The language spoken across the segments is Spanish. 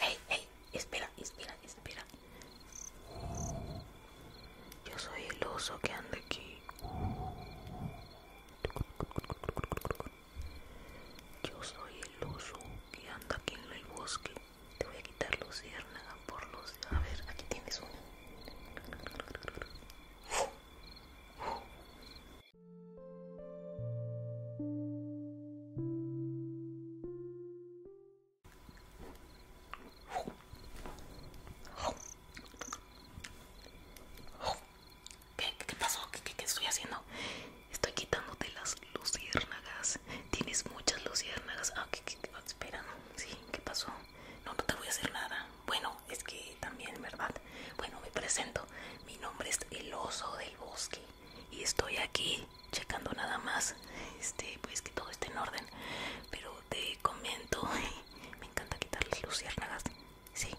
hey, hey, espera, espera, espera. Yo soy el oso que anda aquí. Yo soy el oso que anda aquí en el bosque. Te voy a quitar los luciérnaga por los. A ver, aquí tienes uno. ¿Qué, pasó? ¿Qué, qué, estoy haciendo? Estoy quitándote las luciérnagas. Tienes muchas luciérnagas. Ah, ¿qué, qué, qué? espera, sí, ¿qué pasó? No, no te voy a hacer nada. Bueno, es que también, ¿verdad? Bueno, me presento. Mi nombre es el oso del bosque y estoy aquí checando nada más este pues que todo esté en orden pero te comento me encanta quitar luciérnagas sí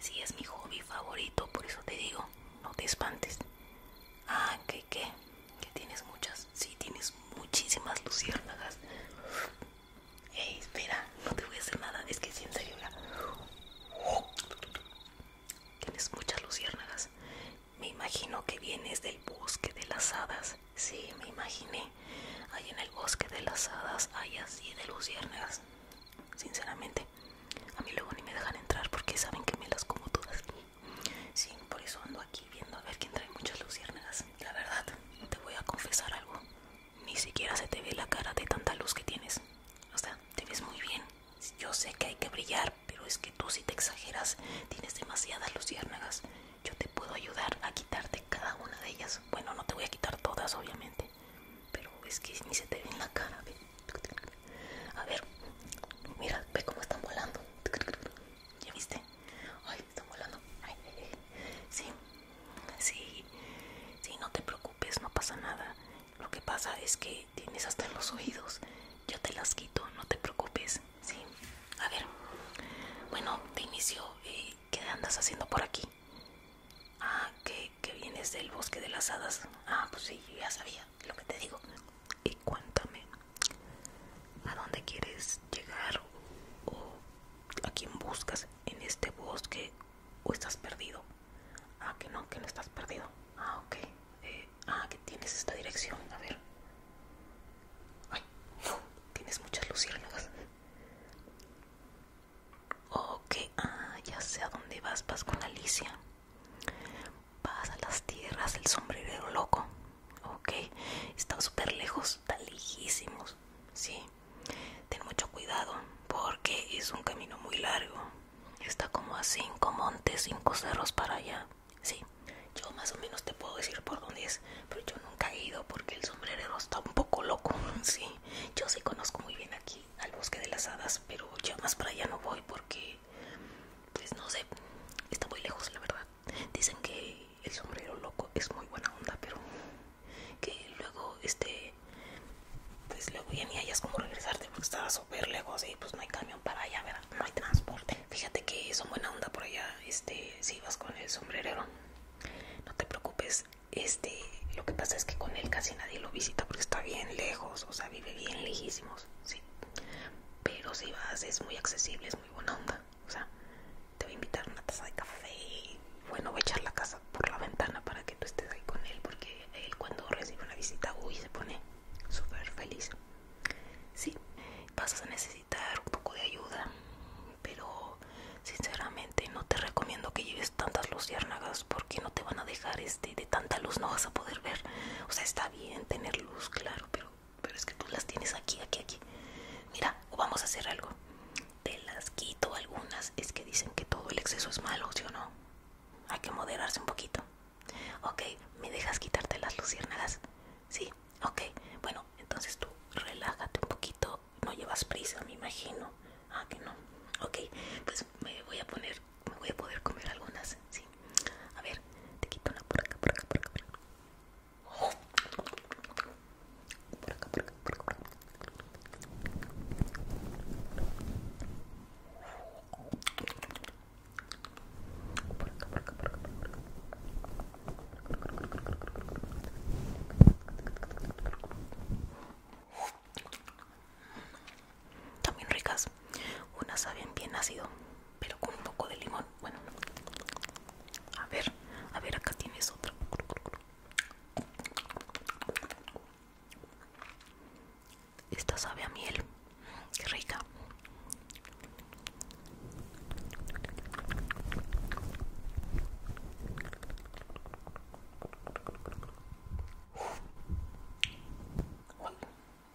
sí es mi hobby favorito por eso te digo no te espantes ah que qué que tienes muchas sí tienes muchísimas luciérnagas Ey, espera no te voy a hacer nada es que si en Tienes muchas luciérnagas. Me imagino que vienes del bosque de las hadas. Sí, me imaginé. Ahí en el bosque de las hadas hay así de luciérnagas. Sinceramente, a mí luego ni me dejan entrar porque saben que me las como todas. Sí, por eso ando aquí viendo a ver quién trae muchas luciérnagas. La verdad, te voy a confesar algo. Ni siquiera se te ve la cara de tanta luz que tienes. O sea, te ves muy bien. Yo sé que hay que brillar, pero es que tú si te exageras tienes demasiadas luciérnagas. Yo te puedo ayudar a quitarte cada una de ellas. Bueno, no te voy a quitar todas, obviamente, pero es que ni se te ve en la cara. A ver, mira, ve cómo están volando. ¿Ya viste? Ay, están volando. sí, sí, sí, no te preocupes, no pasa nada. Lo que pasa es que tienes hasta en los oídos. Yo te las quito, no te preocupes. Sí. A ver. Bueno, de inicio, eh, ¿qué andas haciendo por aquí? Ah, que, vienes del bosque de las hadas. Ah, pues sí, ya sabía lo que te digo. Y cuéntame, ¿a dónde quieres llegar? ¿O a quién buscas en este bosque? ¿O estás perdido? Ah, que no, que no estás perdido. Ah, ok. Eh, ah, que tienes esta dirección. A ver. Ay, tienes muchas luciérnagas. Ok, ah, ya sé a dónde vas. Vas con Alicia. Vas a las tierras del sombrero loco. Ok, está súper lejos, está lejísimos. Sí, ten mucho cuidado porque es un camino muy largo. Está como a cinco montes, cinco cerros para allá. Sí, yo más o menos te puedo decir por dónde es, pero yo nunca he ido porque el sombrerero está un poco loco. Sí, yo sí conozco muy bien aquí al bosque de las hadas, pero ya más para allá no voy porque, pues no sé, está muy lejos la verdad. Dicen que el sombrero loco es muy buena onda, pero que luego este pues luego ya ni hayas como regresarte porque estaba súper lejos y pues no hay camión para allá ¿verdad? no hay transporte fíjate que es una buena onda por allá este si vas con el sombrerero no te preocupes este lo que pasa es que con él casi nadie lo visita porque está bien lejos o sea vive bien lejísimos sí pero si vas es muy accesible es muy buena onda o sea te voy a invitar una taza de café bueno voy a echar la casa por la ventana para que tú estés ahí con él porque él cuando recibe una visita uy se pone súper feliz sí vas a necesitar un poco de ayuda pero sinceramente no te recomiendo que lleves tantas luciérnagas porque no te van a dejar este de tanta luz no vas a poder ver o sea está bien tener luz claro pero pero es que tú las tienes aquí aquí aquí mira vamos a hacer algo te las quito algunas es que dicen que todo el exceso es malo ¿sí o no hay que moderarse un poquito ok me dejas quitarte las luciérnagas sí ok bueno entonces tú relájate un poquito no llevas prisa me imagino ah que no ok pues me voy a poner me voy a poder comer algunas sí a ver te quito una por acá por acá por acá también ricas, unas saben bien ácido, pero con un poco de limón. Bueno, a ver, a ver, acá tienes otra. Esta sabe a miel, qué rica.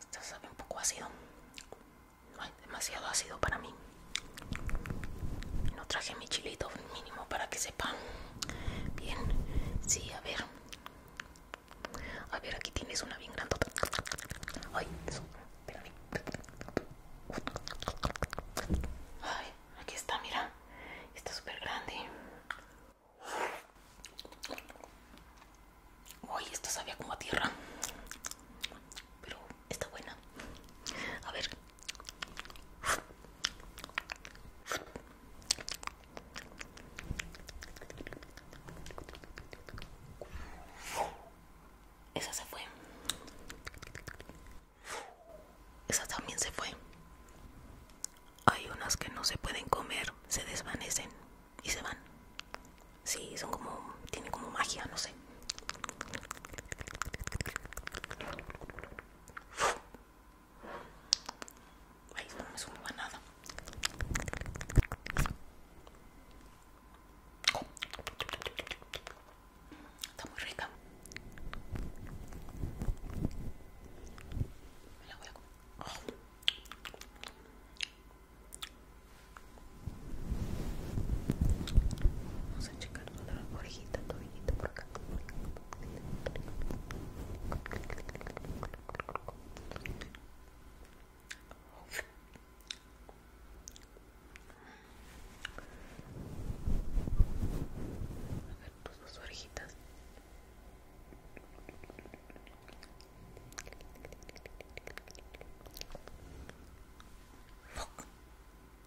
esta sabe un poco ácido. demasiado ácido para mí. No traje mi chilito mínimo para que sepan. Bien, sí, a ver. A ver, aquí tienes una bien grandota. Ay, eso, espérame. Ay, aquí está, mira. Está súper grande. Uy, esto sabía como a tierra. Pero está buena. A ver, esa se fue. Esa también se fue. Hay unas que no se pueden comer, se desvanecen y se van. Sí, son como. tienen como magia, no sé. Ay, no me sumo a nada. Está muy rica. Me la voy a comer. Vamos a checar otra orejita, bien, por acá. A ver tus dos orejitas.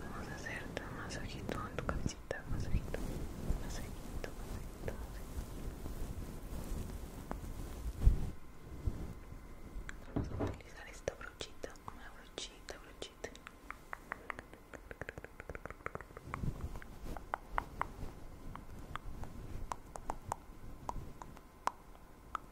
Vamos a hacer un masajito en tu cabecita, masajito, masajito, masajito, masajito. Vamos a utilizar esta brochita, una brochita, brochita.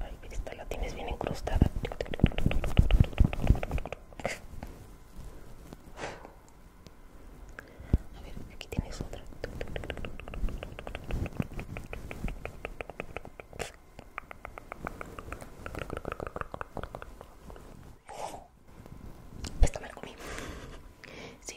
Ay, esta la tienes bien incrustada. A ver, aquí tienes otra. Esto me lo comí. Sí.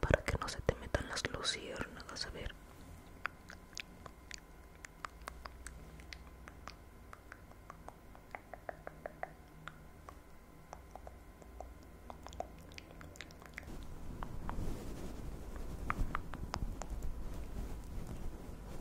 Para que no se te metan las luciérnagas, a ver.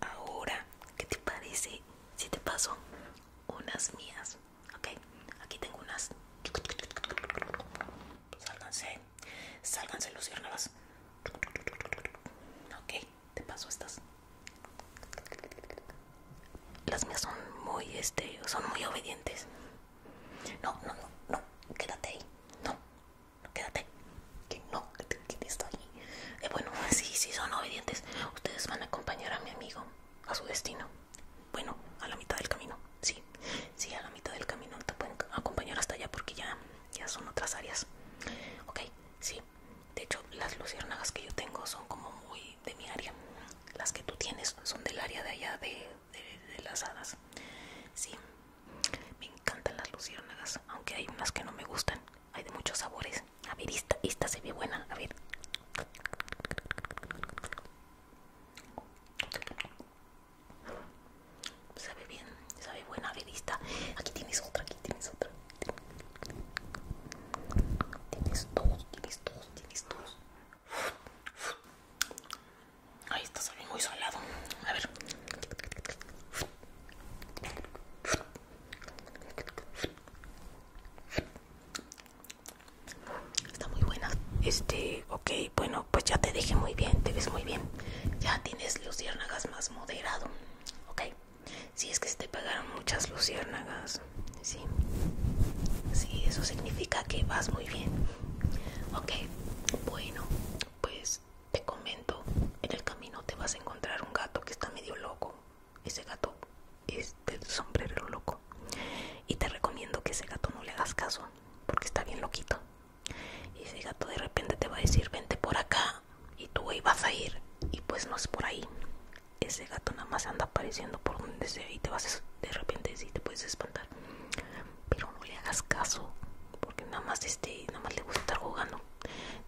Ahora, ¿qué te parece si te paso unas mías? Ok, aquí tengo unas. Pues sálganse, sálganse luciérnagas. Ok, te paso estas. Las mías son muy, este, son muy obedientes. No, no, no, no, quédate ahí. No, no quédate. Que no, que te ahí. Eh, bueno, sí, sí, son obedientes. Ustedes van a acompañar a mi amigo a su destino. Bueno, a la mitad del camino, sí. Sí, a la mitad del camino te pueden acompañar hasta allá porque ya, ya son otras áreas. Ok, sí. De hecho, las luciérnagas que yo tengo son como muy de mi área. Las que tú tienes son del área de allá de, las hadas. Sí, me encantan las luciérnagas, aunque hay unas que no me gustan. Hay de muchos sabores. A ver, esta, se ve buena. A ver. Sabe bien, sabe buena. A Aquí tienes otra, aquí tienes otra. Tienes dos, tienes dos, tienes dos Ahí está saliendo muy salado. A ver. Está muy buena. Este, ok, bueno, pues ya te dejé muy bien, te ves muy bien. Ya tienes los luciérnagas más moderado. Ok. Si es que se te pagaron muchas luciérnagas, sí. Sí, eso significa que vas muy bien. Ok, bueno, pues te comento, en el camino te vas a encontrar un gato que está medio loco. Ese gato es del sombrero loco. Y te recomiendo que ese gato no le hagas caso, porque está bien loquito. Y ese gato de repente te va a decir, vente por acá, y tú ibas a ir y pues no es por ahí. Ese gato nada más anda apareciendo por donde sea y te vas de repente y te puedes espantar. Pero no le hagas caso porque nada más este nada más le gusta estar jugando.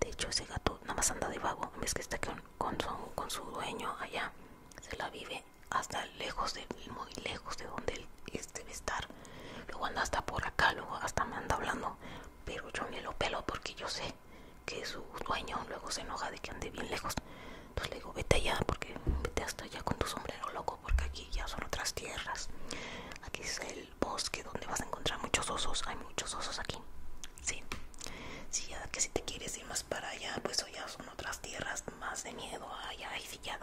De hecho ese gato nada más anda de vago, en que está con, su, con su dueño allá, se la vive hasta lejos de muy lejos de donde él este, debe estar. Luego anda hasta por acá, luego hasta me anda hablando pero yo me lo pelo porque yo sé que su dueño luego se enoja de que ande bien lejos. Entonces le digo, vete allá, porque vete hasta allá con tu sombrero loco, porque aquí ya son otras tierras. Aquí es el bosque donde vas a encontrar muchos osos. Hay muchos osos aquí. Sí, sí ya que si te quieres ir más para allá, pues ya son otras tierras más de miedo. allá ay, sí, ya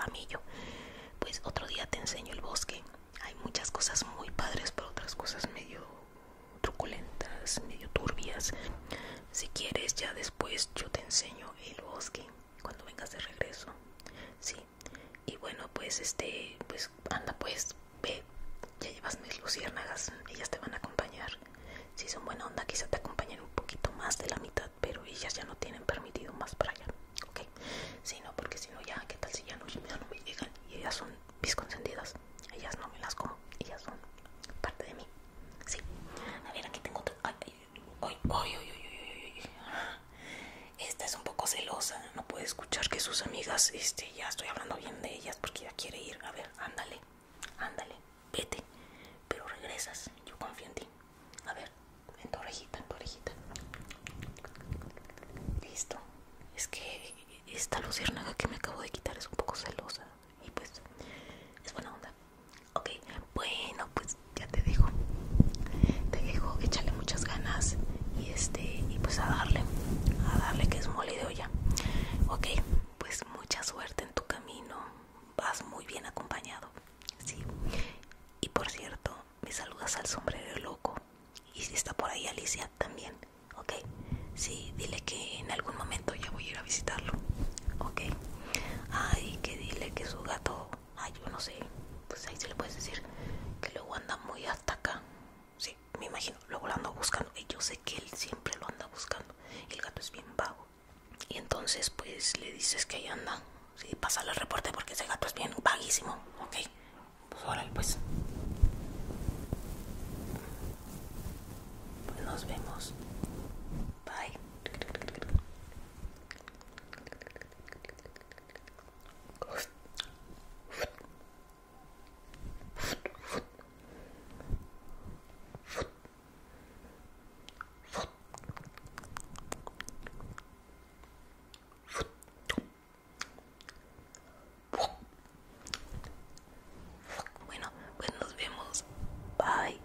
Pues otro día te enseño el bosque hay muchas cosas muy padres, pero otras cosas medio truculentas, medio turbias. Si quieres, ya después yo te enseño el bosque cuando vengas de regreso. Sí. Y bueno, pues este, pues anda pues, ve, ya llevas mis luciérnagas, ellas te van a acompañar. Si son buena onda, quizá te acompañen un poquito más de la mitad, pero ellas ya no tienen permitido más para allá, ¿ok? Si no, porque si no ya, ¿qué tal si ya no, llegan? Y ellas son mis consentidas. Ellas no me las como, ellas son parte de mí. Sí. A ver, aquí tengo otra. Ay, ay, ay, ay, Esta es un poco celosa. No puede escuchar que sus amigas, este, ya estoy hablando bien de ellas porque ya quiere ir. A ver, ándale, ándale, vete. Pero regresas, yo confío en ti. A ver, en tu orejita, en tu orejita. Listo es que esta luciérnaga que me acabo de quitar es un poco celosa y pues es buena onda. Ok, bueno, pues ya te dejo Te dejo, échale muchas ganas y este y pues a darle, a darle que es mole de olla. Ok, pues mucha suerte en tu camino. Vas muy bien acompañado. Sí. Y por cierto, me saludas al sombrero loco. Y si está por ahí Alicia también, ok. Sí, dile que en algún momento ya voy a ir a visitarlo, ok. Ay, que dile que su gato, ay, yo no sé, pues ahí se le puedes decir que luego anda muy hasta acá. Sí, me imagino, luego lo ando buscando. Y yo sé que él siempre lo anda buscando. El gato es bien vago. Y entonces, pues le dices que ahí anda. Sí, pasa el reporte porque ese gato es bien vaguísimo, ok. Pues pues. Pues nos vemos. Bye. Bueno, pues nos vemos. Bye.